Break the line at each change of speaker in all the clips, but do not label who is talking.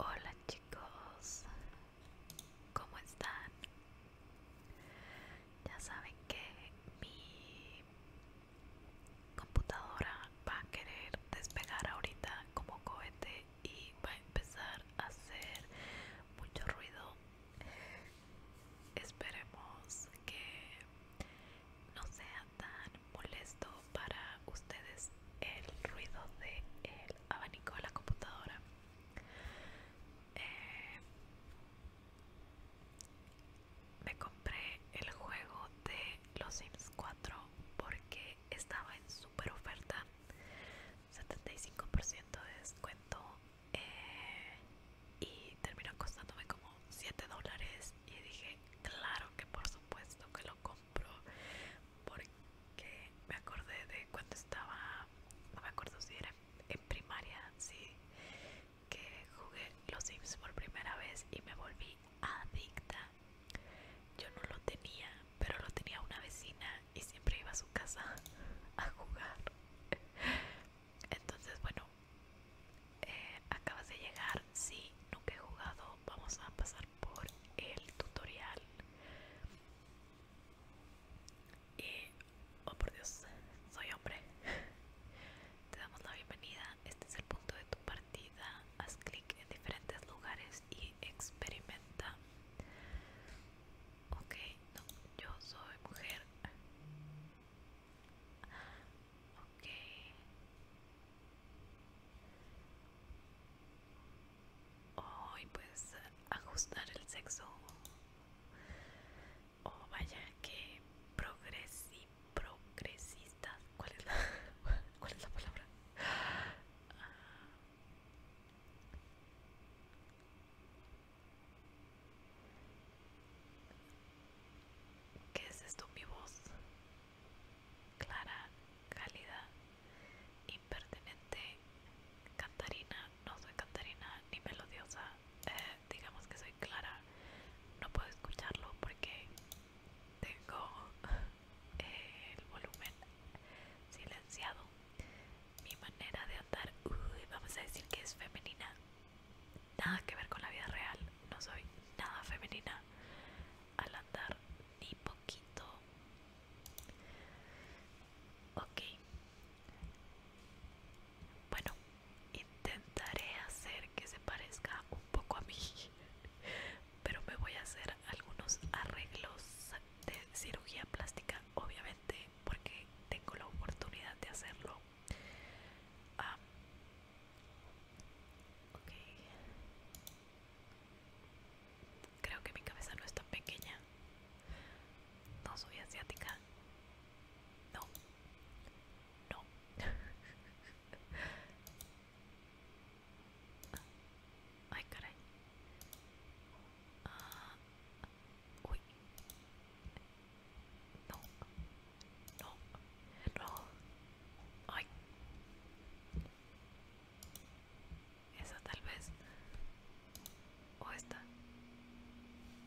Hola chicos, ¿cómo están? Ya saben que mi computadora va a querer despegar ahorita como cohete y va a empezar a hacer mucho ruido Esperemos que no sea tan molesto para ustedes el ruido del abanico de la computadora. Eh, me compré el juego de Los Sims 4 porque estaba en super oferta. 75% de descuento eh, y terminó costándome como 7 dólares y dije claro que por supuesto que lo compro porque me acordé de cuando estaba no me acuerdo si era en, en primaria sí que jugué los Sims por primera vez y me volví adicta yo no lo tenía pero lo tenía una vecina y siempre iba a su casa a jugar entonces, bueno, eh, acabas de llegar. Si nunca he jugado, vamos a pasar por el tutorial. Y, oh por Dios, soy hombre. Te damos la bienvenida. Este es el punto de tu partida. Haz clic en diferentes lugares y experimenta. Ok, no, yo soy mujer. Ok. Hoy pues ajustar el sexo. Oh, vaya, que progresi, progresistas. ¿Cuál es cuál es la palabra? Ah. ¿Qué es esto? Mi voz clara, cálida, impertinente, cantarina, no soy cantarina ni melodiosa, eh, digamos que soy clara, no puedo escucharlo porque tengo el volumen silenciado. Mi manera de andar, vamos a decir que es femenina nada que ver con la vida real, no soy nada femenina al andar ni poquito. Ok. Bueno, intentaré hacer que se parezca un poco a mí, pero me voy a hacer algunos arreglos de cirugía plástica, obviamente, porque tengo la oportunidad de hacerlo Ah. Creo que mi cabeza no es tan pequeña. No soy asiática. No. No. Ay, caray. Ah. Uy. No. No. No. Ay. Esa tal vez. O esta.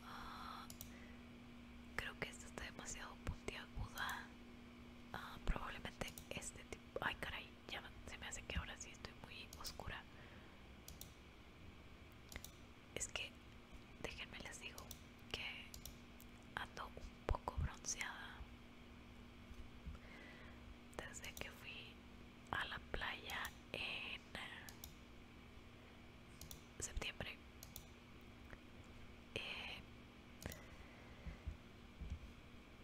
Ah, creo que esta está demasiado puntiaguda. Ah, probablemente este tipo. Ay, caray. Ya se me hace que ahora sí estoy muy oscura es que déjenme les digo que ando un poco bronceada desde que fui a la playa en eh, septiembre eh,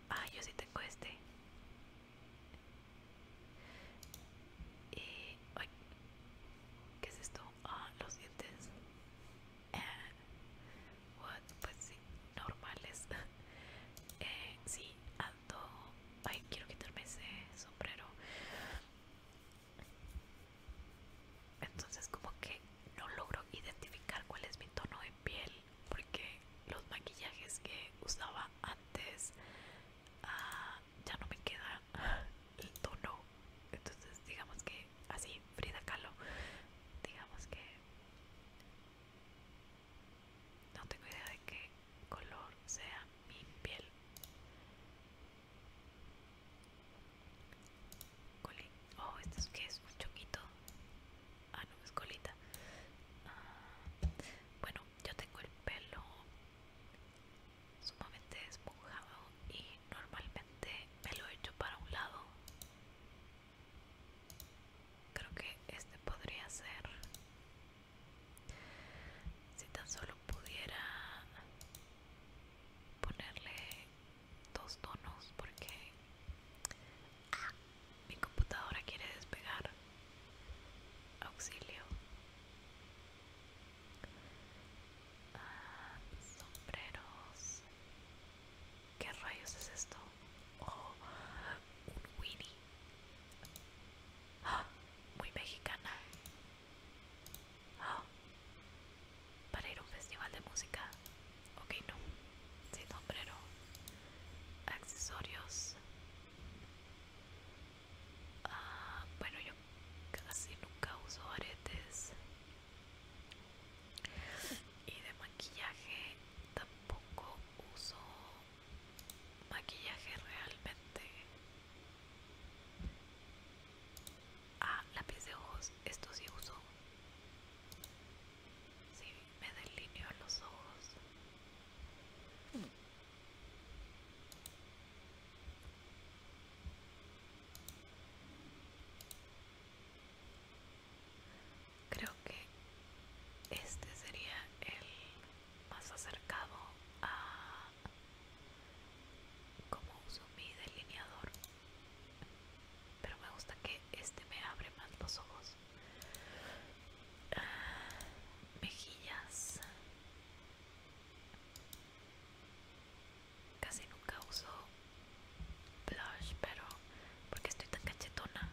ah yo sí tengo este y. ¿Qué es esto? Ah, los dientes. Eh, what? Pues sí, normales. eh, sí, ando. Ay, quiero quitarme ese sombrero. Entonces, como que no logro identificar cuál es mi tono de piel porque los maquillajes que usaba antes ah, ya no me queda el tono entonces digamos que así Frida Kahlo digamos que no tengo idea de qué color sea mi piel oh esto es que es un chonquito ah no es colita ah, bueno yo tengo el pelo sumamente esponjado y normalmente me lo echo para un lado creo que este podría ser si tan solo pudiera ponerle dos tonos porque mi computadora quiere despegar auxilio sombreros. ¿Qué rayos es esto? Oh, un Winnie. Ah, muy mexicana. Ah, para ir a un festival de música. Ok, no. Sin sombrero. Accesorios. Ah, bueno, yo casi nunca uso aretes. Y de maquillaje tampoco uso maquillaje realmente. Ah, lápiz de ojos, esto sí uso. Sí, me delineo los ojos. Creo que este sería el más acercado a como uso mi delineador, pero me gusta que este me abre más los ojos. Ah, mejillas Casi nunca uso blush, pero porque estoy tan cachetona.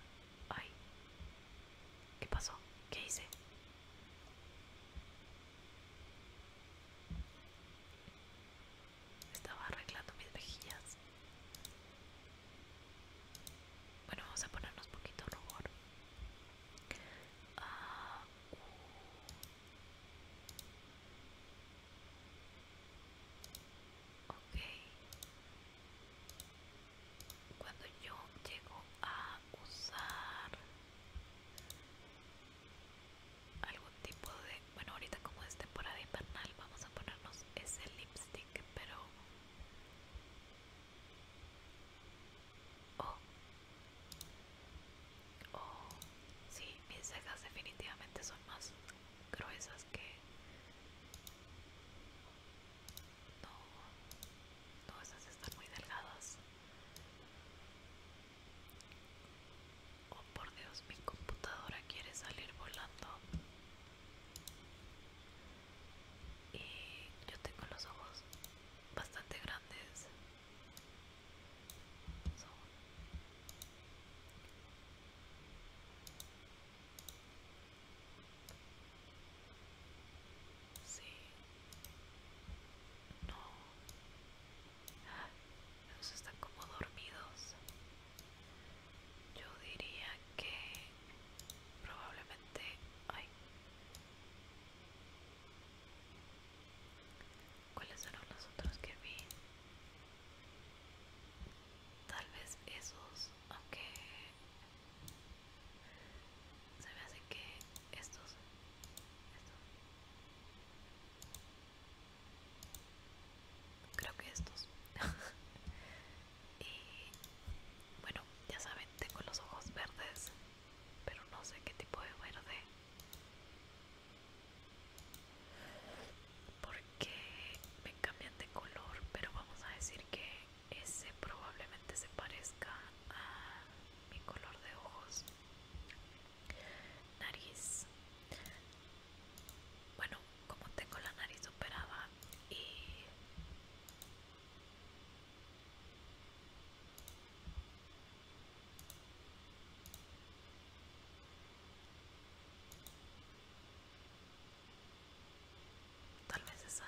Ay, ¿qué pasó? ¿Qué hice? Estaba arreglando mis mejillas. Bueno, vamos a ponernos poquito rubor. Ah, Ok. Cuando yo llego a usar algún tipo de... Bueno, ahorita como es temporada invernal vamos a ponernos ese lipstick, pero... Oh, Oh, sí, mis cejas definitivamente son más gruesas que... No, no, esas están muy delgadas. Oh, por Dios, mi computadora quiere salir volando. Y yo tengo los ojos bastante grandes Sí. No. Ellos están como dormidos. Yo diría que probablemente... hay ¿Cuáles eran los otros que vi? Tal vez esos, aunque se me hace que estos, estos. Creo que estos. y bueno, ya saben, tengo los ojos verdes, pero no sé qué tipo de verde porque me cambian de color pero vamos a decir que ese probablemente se parezca a mi color de ojos nariz bueno como tengo la nariz operada y Tal vez esa.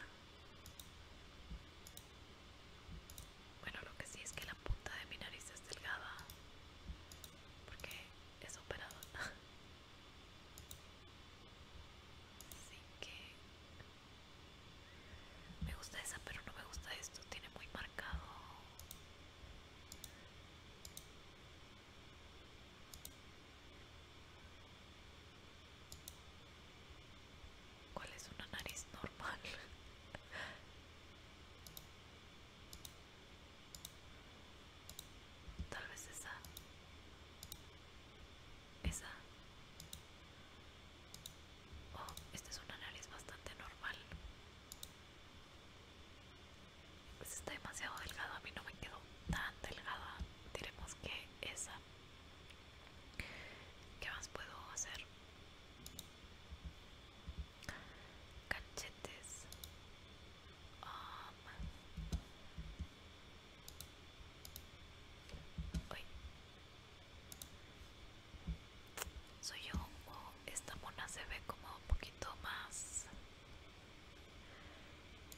Bueno, lo que sí es que la punta de mi nariz es delgada. Porque es operada. Así que... Me gusta esa, pero no me gusta esto. Tiene muy marcado ¿Cuál es una nariz normal? Tal vez esa. Esa. Oh, esta es una nariz bastante normal. Pues está demasiado delgado, a mí no me quedó tan delgada. Diremos que esa. ¿Qué más puedo hacer? Cachetes. Um, soy yo esta mona se ve como un poquito más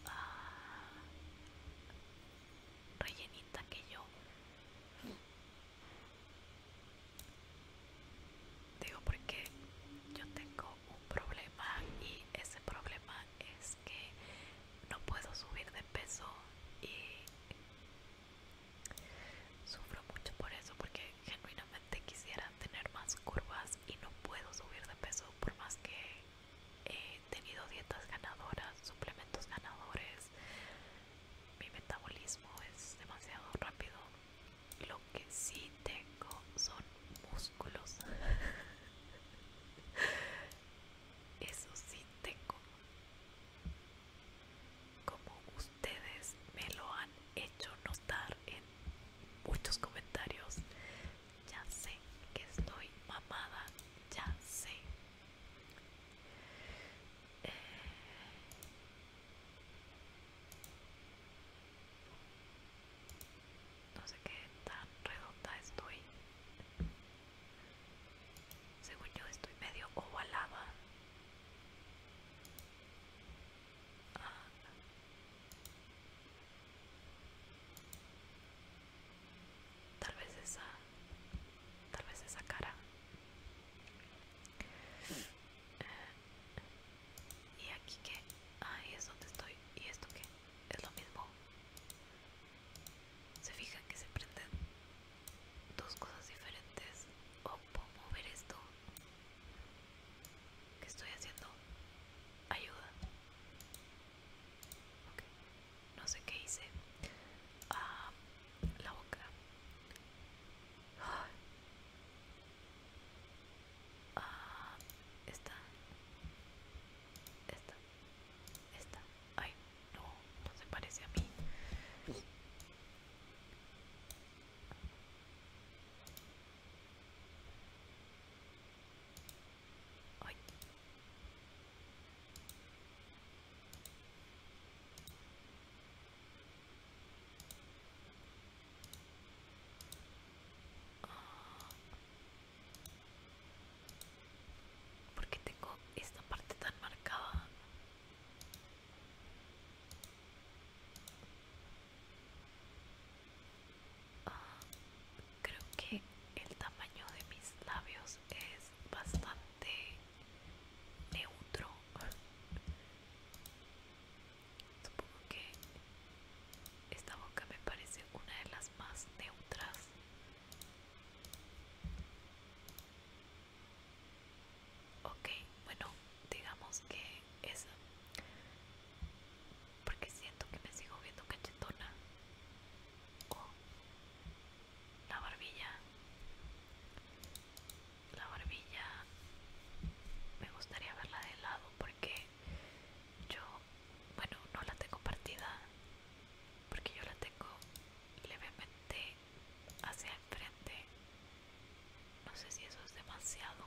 ah, rellenita que yo. Digo porque yo tengo un problema y ese problema es que no puedo subir de peso y Sufro mucho por eso porque genuinamente quisiera tener más curvas y no puedo subir de peso por más que he tenido dietas ganadoras, suplementos ganadores. Mi metabolismo es demasiado rápido. Lo que sí tengo son músculos. Eso sí tengo como ustedes me lo han hecho notar en muchos comentarios. Ya sé que estoy mamada, ya sé. Eh, no sé qué tan redonda estoy. Según yo estoy medio ovalada. Tal vez esa, tal vez esa cara. Eh, y aquí que, ahí es donde estoy. ¿Y esto qué? Es lo mismo. Se fijan que se prenden dos cosas diferentes puedo mover esto. ¿Qué estoy haciendo? Ayuda. Okay. No sé qué hice. Ah, la boca. Ah. ah esta. Esta. Esta. Ay, no, no se parece a mí porque ¿Por qué tengo esta parte tan marcada? Ah, creo que el tamaño de mis labios es bastante neutro. Supongo que esta boca me parece una de las más neutras ok bueno digamos que es porque siento que me sigo viendo cachetona la barbilla la barbilla me gustaría verla de lado porque yo bueno no la tengo partida porque yo la tengo levemente hacia enfrente no sé si eso es demasiado.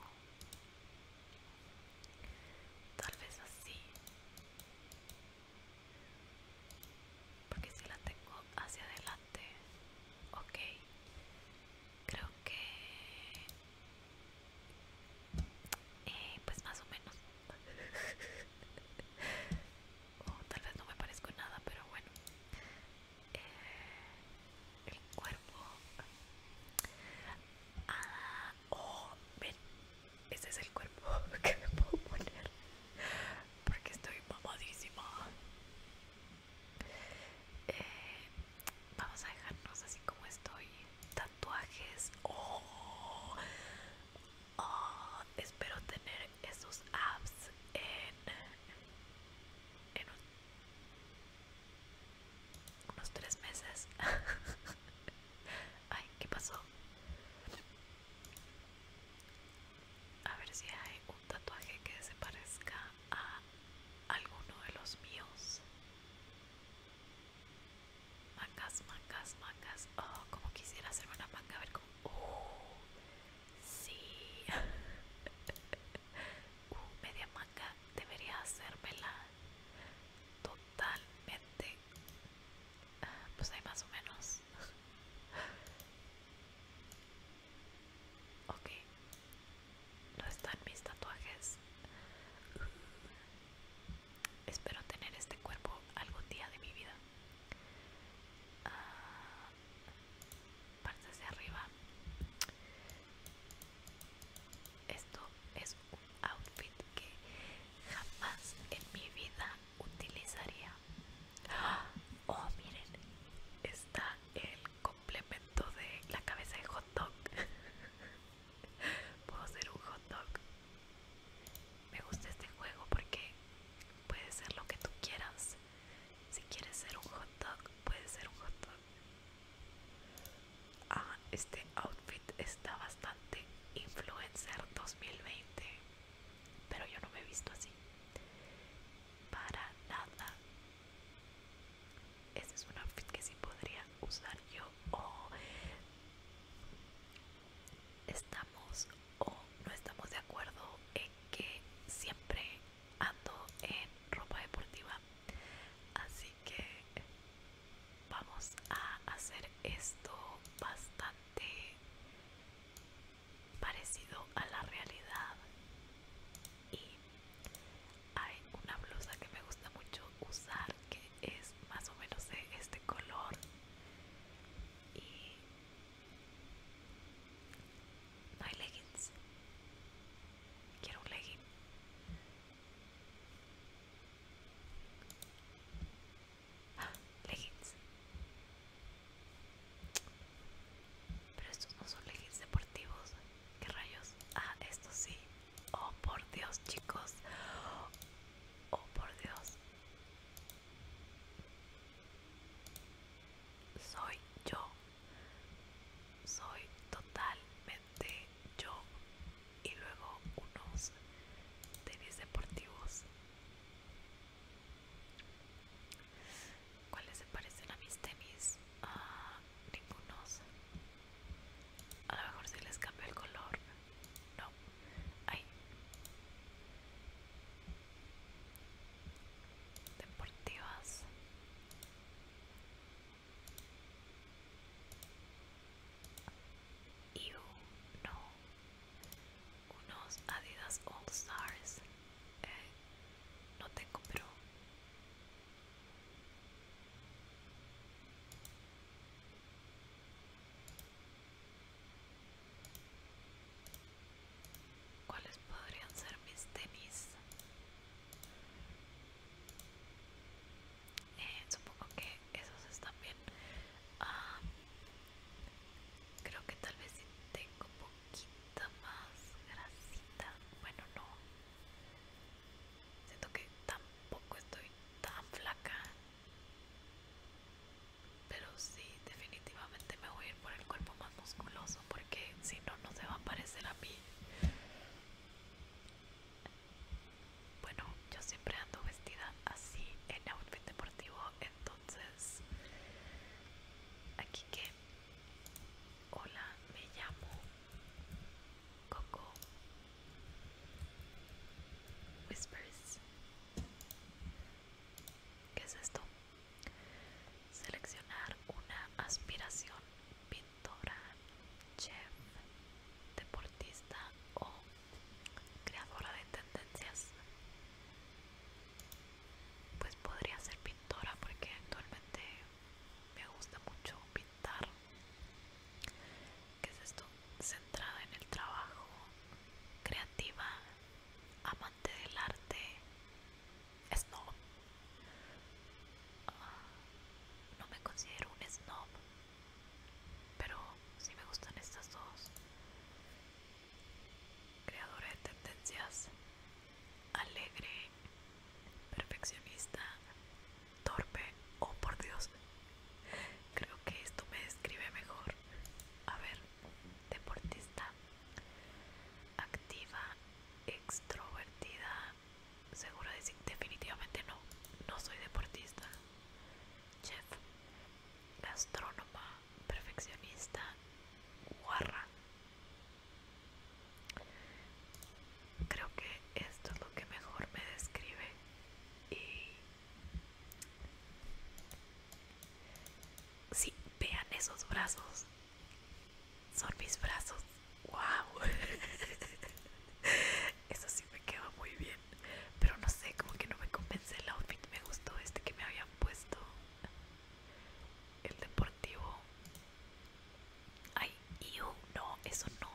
Tal vez así. Porque si la tengo hacia adelante. Ok. Creo que... Eh, pues más o menos. tal vez no me parezco nada, pero bueno el cuerpo ah, oh, ese oh, es el cuerpo que me puedo poner porque estoy mamadísima eh, vamos a dejarnos así como estoy tatuajes oh, oh espero tener esos abs en en un unos tres meses ay qué pasó a ver si hay un tatuaje que se parezca a alguno de los míos mangas mangas mangas oh como quisiera hacer una manga a ver cómo uh, sí uh, media manga debería debería hacérmela totalmente pues hay más o menos ok no están mis tatuajes espero tener este cuerpo algún día de mi vida ah, parte hacia arriba esto es un outfit que jamás en mi vida utilizaría ¡Ah! oh miren está el complemento de la cabeza de hot dog puedo ser un hot dog me gusta este juego porque puede ser lo que tú quieras si quieres ser un hot dog puedes ser un hot dog Ah, este outfit está bastante influencer 2020, pero yo no me he visto así. Para nada. Este es un outfit que sí podría usar yo o estamos o no estamos de acuerdo en que siempre ando en ropa deportiva así que vamos a hacer esto bastante parecido a la realidad y hay una blusa que me gusta mucho usar que es más o menos de este color y my leggings Quiero un legging. Ah, leggings. Pero estos no son leggings deportivos. ¿Qué rayos? Ah, estos sí. Oh, por Dios, chicos. Oh, por Dios. Soy yo soy totalmente yo y luego unos tenis deportivos ¿Cuáles se parecen a mis tenis? A ah, ningunos. A lo mejor si les cambio el color. No. Ay. Deportivas y uno, unos Adidas All Stars. Eh, no tengo, pero ¿Cuáles podrían ser mis tenis? Eh, supongo que esos están bien ah, creo que tal vez si tengo poquita más grasita bueno no siento que tampoco estoy tan flaca pero sí definitivamente me voy a ir por el cuerpo más musculoso porque si no no se va a parecer a mí bueno yo siempre ando vestida así en outfit deportivo entonces aquí que hola me llamo Coco Whispers ¿Qué es esto? Seleccionar una aspiración, ¿Pintora, chef, deportista o creadora de tendencias. Pues podría ser pintora porque actualmente me gusta mucho pintar. ¿Qué es esto? Centrada en el trabajo, creativa, amante del arte, es no no me considero un snob, pero sí me gustan estas dos. Creadora de tendencias, alegre, perfeccionista, torpe, o oh, por Dios. Creo que esto me describe mejor. A ver, deportista, activa, extrovertida, Seguro de definitivamente no. No soy deportista. Chef. Gastrónoma. Perfeccionista. Guarra. Creo que esto es lo que mejor me describe. Y... Sí, vean esos brazos son mis brazos. ¡Wow! Eso sí me queda muy bien. Pero no sé, como que no me convence el outfit. Me gustó este que me habían puesto. El deportivo. Ay, no, eso no.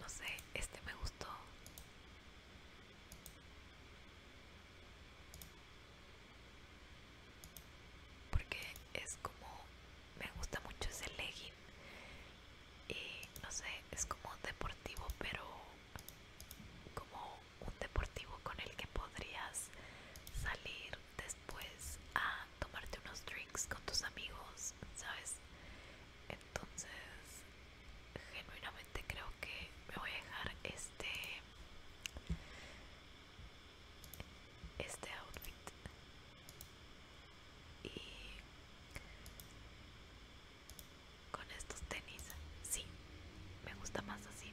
No sé, este me gustó porque es como me gusta mucho ese legging y no sé es como deportivo pero como un deportivo con el que podrías salir después a tomarte unos drinks con tus amigos sabes entonces genuinamente creo que me voy a dejar este este outfit y con estos tenis sí me gusta más así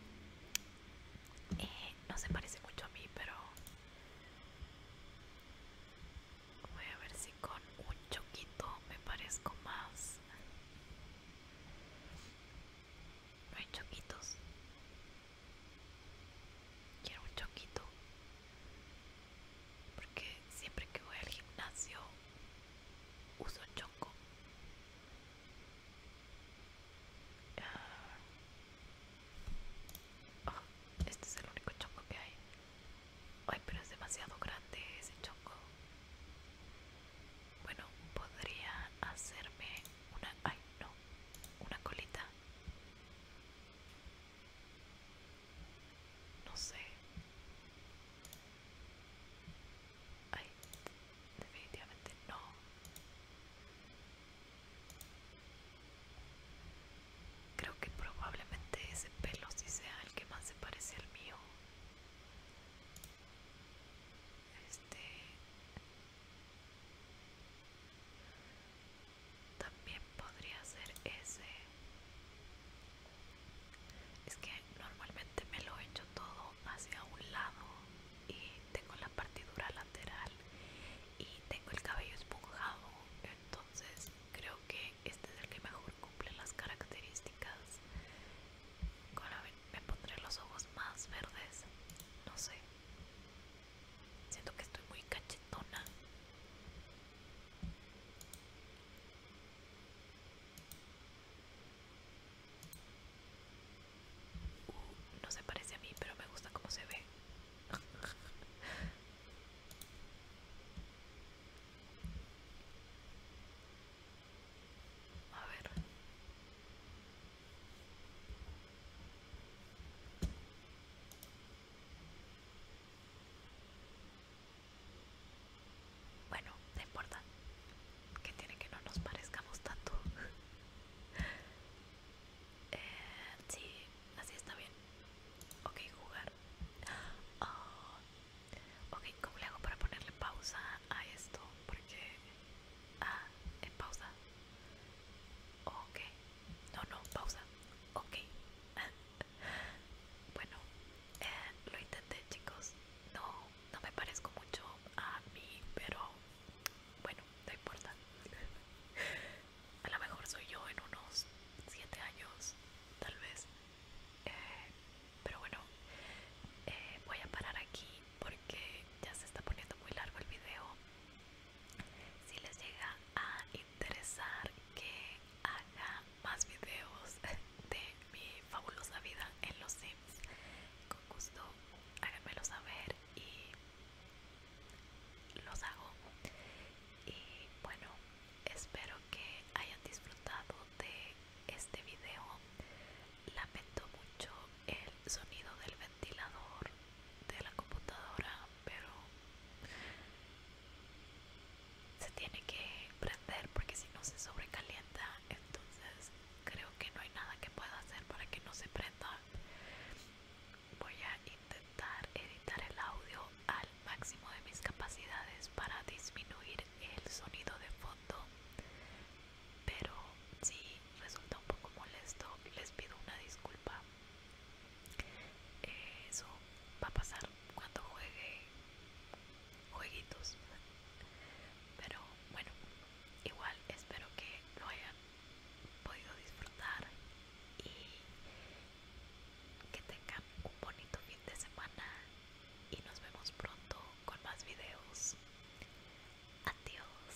eh, no se parece mucho a mí pero voy a ver si con un choquito me parezco más no hay choquitos Quiero un chonquito Porque siempre que voy al gimnasio uso choco ah. oh, este es el único chonco que hay. Ay, pero es demasiado grande ese chonco Bueno, podría hacerme una... Ay, no. Una colita. No sé. Ay, definitivamente no. Creo que probablemente ese pelo sí sea el que más se parece al mío este también podría ser ese es que normalmente me lo echo todo hacia un lado y tengo la partidura lateral y tengo el cabello esponjado entonces creo que este es el que mejor cumple las características me pondré los ojos más verdes no sé Siento que estoy muy cachetona. Uh, no se parece a mí, pero me gusta cómo se ve. A ver. Bueno, no importa. Que tiene que no nos parezcamos tanto. Eh, sí, así está bien. Ok, jugar. Ah, ok, ¿cómo le hago para ponerle pausa a esto? Porque Ah, en pausa. Ok. No, no, pausa. Ok. bueno, eh, lo intenté, chicos. No, no me parezco mucho a mí, pero bueno, no importa. a lo mejor soy yo en unos 7 años, tal vez. Eh, pero bueno, eh, voy a parar aquí porque ya se está poniendo muy largo el video si les llega a interesar que haga más videos de mi fabulosa vida en los sims con gusto háganmelo saber y los hago y bueno espero que hayan disfrutado de este video lamento mucho el sonido del ventilador de la computadora, pero se tiene que prender porque si no se sobrecalienta, entonces creo que no hay nada que pueda hacer para que no se prenda. Voy a intentar editar el audio al máximo de mis capacidades para disminuir el sonido de fondo, pero si resulta un poco molesto, les pido una disculpa. Eso va a pasar cuando juegue jueguitos. Pero bueno, igual espero que lo hayan podido disfrutar y que tengan un bonito fin de semana y nos vemos pronto con más videos. Adiós.